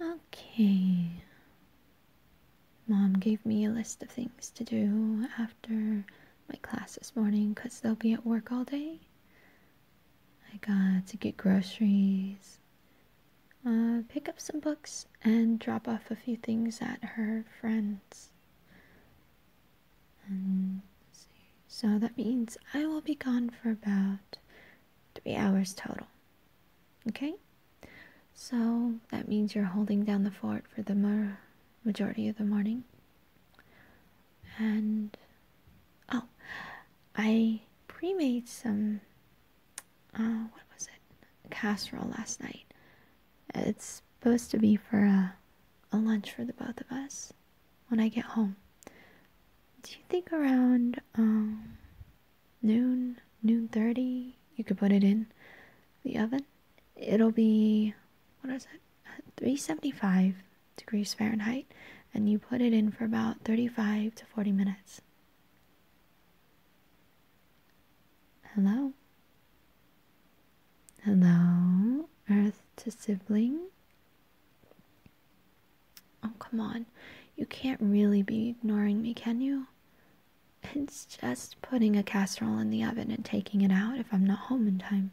Okay. Mom gave me a list of things to do after my class this morning because they'll be at work all day. I got to get groceries, uh, pick up some books, and drop off a few things at her friend's. so that means I will be gone for about three hours total. Okay? So that means you're holding down the fort for the majority of the morning. And oh, I pre made some, uh, what was it? Casserole last night. It's supposed to be for a, uh, a lunch for the both of us when I get home. Do you think around um, noon, noon 30, you could put it in the oven? It'll be, what is it, 375 degrees Fahrenheit, and you put it in for about 35 to 40 minutes. Hello? Hello, Earth to sibling? Oh, come on. You can't really be ignoring me, can you? It's just putting a casserole in the oven and taking it out if I'm not home in time.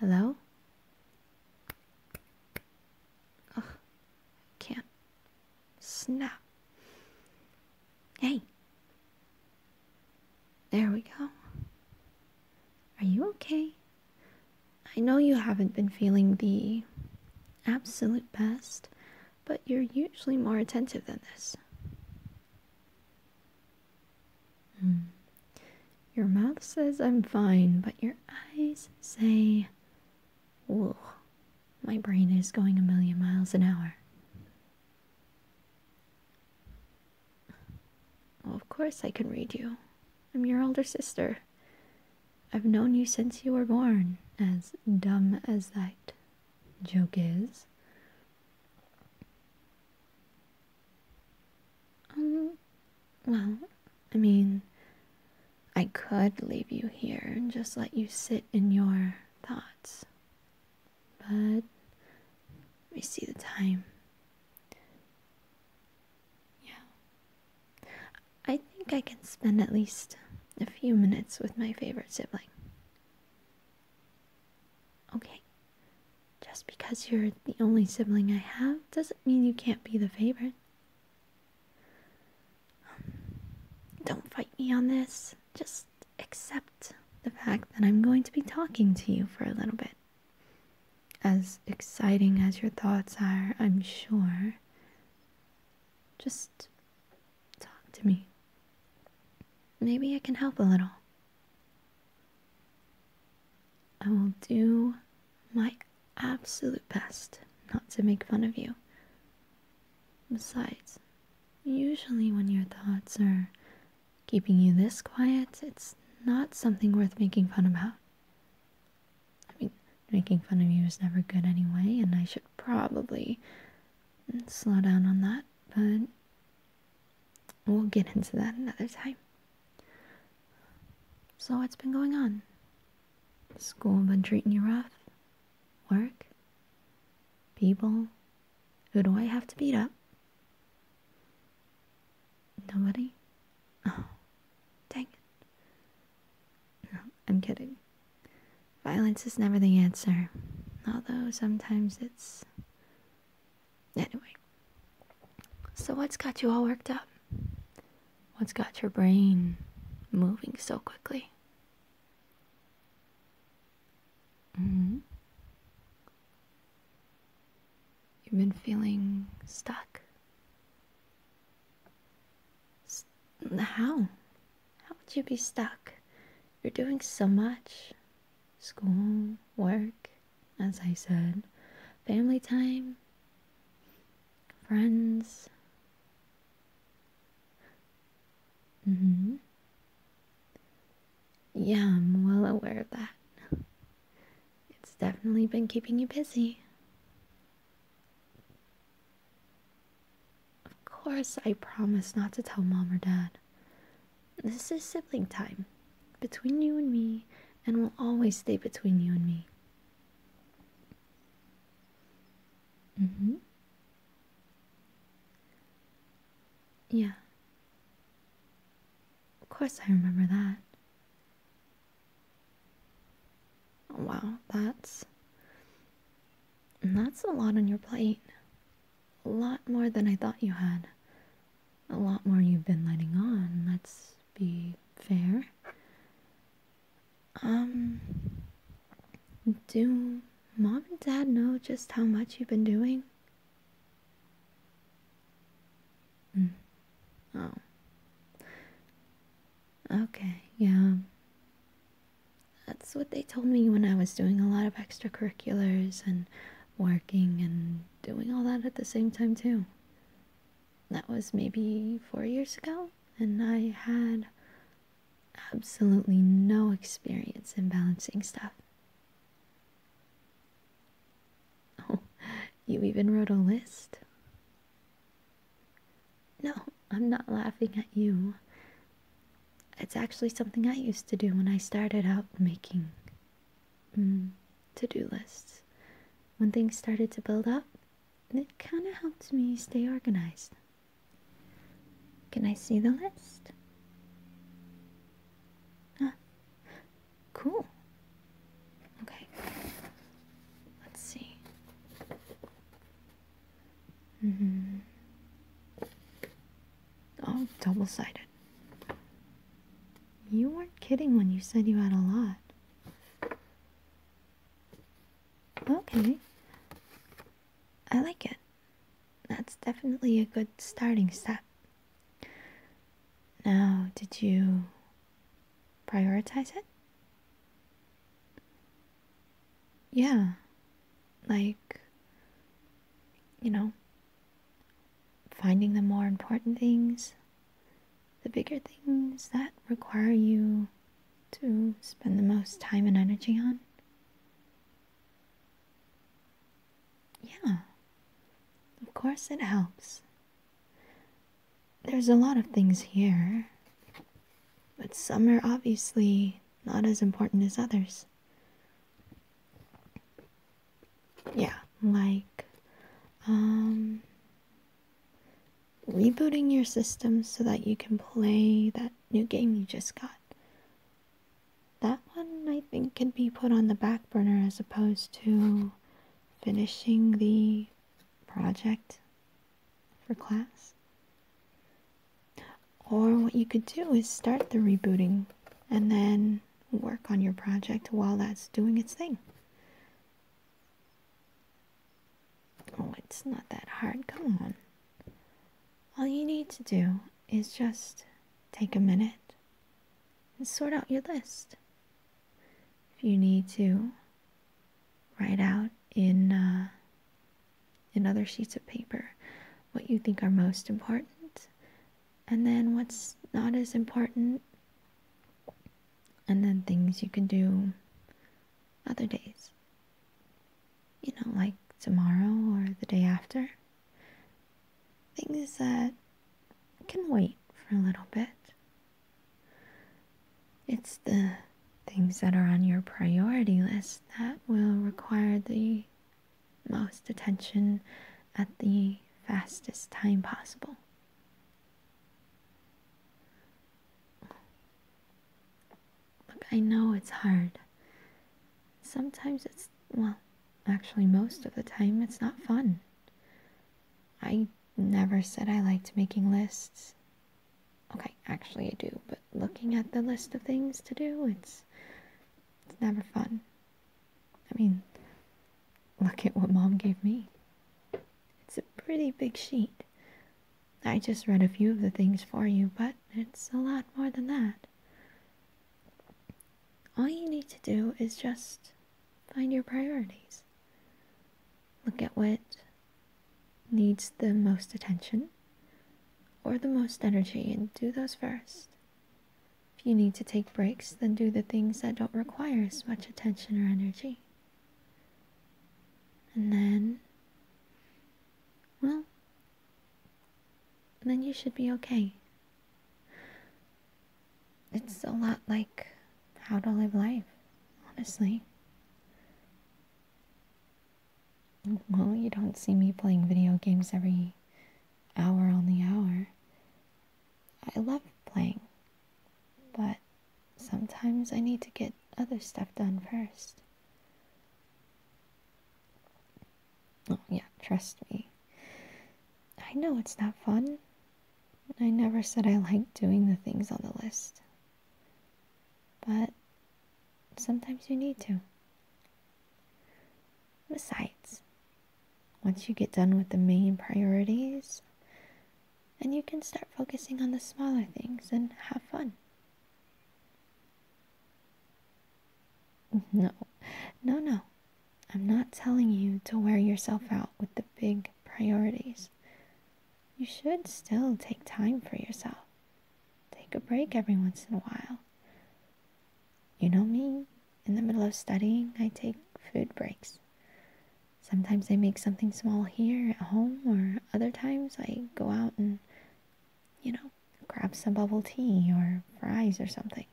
Hello? can't. Snap. Hey. There we go. Are you okay? I know you haven't been feeling the absolute best, but you're usually more attentive than this. Hmm. Your mouth says I'm fine, but your eyes say, Whoa, my brain is going a million miles an hour of course I can read you. I'm your older sister. I've known you since you were born, as dumb as that joke is. Um, well, I mean, I could leave you here and just let you sit in your thoughts. But, let me see the time. Yeah. I think I can spend at least a few minutes with my favorite sibling. Okay. Just because you're the only sibling I have doesn't mean you can't be the favorite. don't fight me on this. Just accept the fact that I'm going to be talking to you for a little bit. As exciting as your thoughts are, I'm sure, just talk to me. Maybe I can help a little. I will do my absolute best not to make fun of you. Besides, usually when your thoughts are Keeping you this quiet, it's not something worth making fun about. I mean, making fun of you is never good anyway, and I should probably slow down on that, but we'll get into that another time. So, what's been going on? School been treating you rough? Work? People? Who do I have to beat up? Nobody? Oh, dang it. No, I'm kidding. Violence is never the answer, although sometimes it's. Anyway. So, what's got you all worked up? What's got your brain moving so quickly? hmm. You've been feeling stuck. St how? How would you be stuck? You're doing so much school, work, as I said, family time, friends. Mm-hmm. Yeah, I'm well aware of that. It's definitely been keeping you busy. Of course, I promise not to tell mom or dad. This is sibling time between you and me, and will always stay between you and me. Mm hmm. Yeah. Of course I remember that. Wow, that's. That's a lot on your plate. A lot more than I thought you had. A lot more you've been letting on, let's be fair. Um. Do mom and dad know just how much you've been doing? Mm. Oh. Okay, yeah. That's what they told me when I was doing a lot of extracurriculars and working and doing all that at the same time, too. That was maybe four years ago, and I had absolutely no experience in balancing stuff. Oh, you even wrote a list? No, I'm not laughing at you. It's actually something I used to do when I started out making mm, to do lists. When things started to build up, it kind of helped me stay organized. Can I see the list? Cool. Okay. Let's see. Mm hmm. Oh, double sided. You weren't kidding when you said you had a lot. Okay. I like it. That's definitely a good starting step. Now, did you prioritize it? Yeah. Like, you know, finding the more important things, the bigger things that require you to spend the most time and energy on. Yeah, of course it helps. There's a lot of things here, but some are obviously not as important as others. Yeah, like, um, rebooting your system so that you can play that new game you just got That one I think can be put on the back burner as opposed to finishing the project for class. Or what you could do is start the rebooting and then work on your project while that's doing its thing. Oh, it's not that hard. Come on. All you need to do is just take a minute and sort out your list. If you need to, write out in uh, in other sheets of paper what you think are most important, and then what's not as important, and then things you could do other days. You know, like tomorrow or the day after. Things that can wait for a little bit. It's the things that are on your priority list that will require the most attention at the fastest time possible. Look, I know it's hard. Sometimes it's, well, actually, most of the time, it's not fun. I never said I liked making lists. Okay, actually I do, but looking at the list of things to do, it's it's never fun. I mean, look at what mom gave me. It's a pretty big sheet. I just read a few of the things for you, but it's a lot more than that all you need to do is just find your priorities. Look at what needs the most attention or the most energy and do those first. If you need to take breaks, then do the things that don't require as much attention or energy. And then, well, then you should be okay. It's a lot like how to live life, honestly. Well, you don't see me playing video games every hour on the hour. I love playing, but sometimes I need to get other stuff done first. Oh, yeah, trust me. I know it's not fun. I never said I like doing the things on the list. But sometimes you need to. Besides, once you get done with the main priorities, and you can start focusing on the smaller things and have fun. No, no, no. I'm not telling you to wear yourself out with the big priorities. You should still take time for yourself. Take a break every once in a while. You know me, in the middle of studying, I take food breaks. Sometimes I make something small here at home, or other times I go out and, you know, grab some bubble tea or fries or something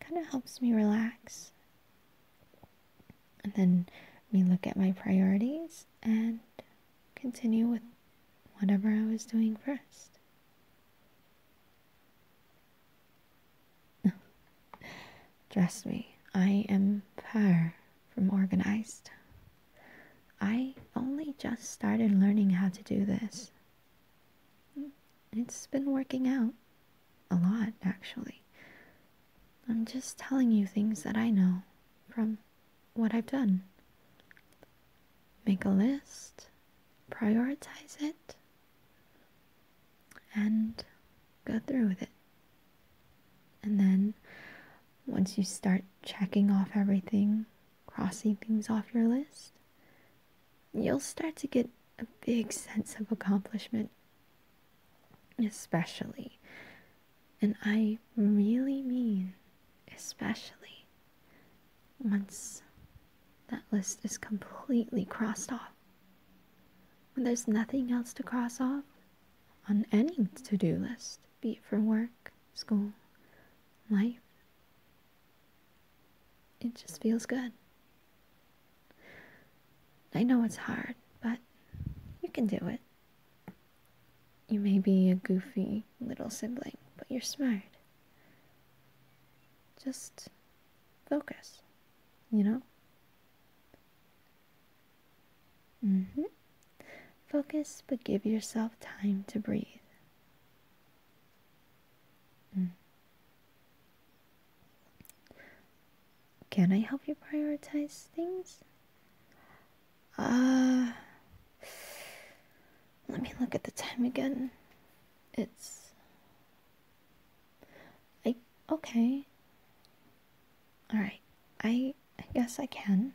kind of helps me relax. And then me look at my priorities and continue with whatever I was doing first. Trust me, I am far from organized. I only just started learning how to do this it's been working out. A lot, actually. I'm just telling you things that I know from what I've done. Make a list, prioritize it, and go through with it. And then, once you start checking off everything, crossing things off your list, you'll start to get a big sense of accomplishment. Especially, and I really mean especially, once that list is completely crossed off. When there's nothing else to cross off on any to do list, be it for work, school, life, it just feels good. I know it's hard, but you can do it. You may be a goofy little sibling, but you're smart. Just focus, you know? hmm. Focus, but give yourself time to breathe. Mm. Can I help you prioritize things? Uh, let me look at the time again. It's. I. Okay. Alright. I guess I can.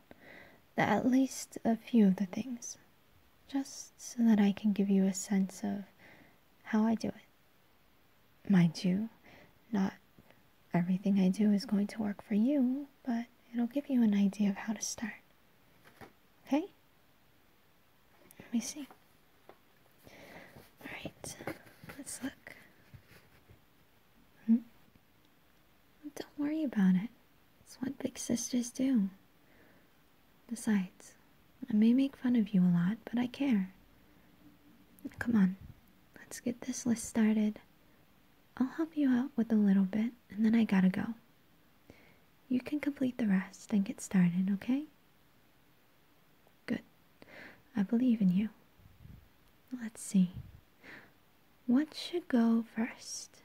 At least a few of the things just so that I can give you a sense of how I do it. Mind you, not everything I do is going to work for you, but it'll give you an idea of how to start. Okay? Let me see. Alright, let's look. Hmm? Don't worry about it. It's what big sisters do. Besides, I may make fun of you a lot, but I care. Come on, let's get this list started. I'll help you out with a little bit, and then I gotta go. You can complete the rest and get started, okay? Good. I believe in you. Let's see. What should go first?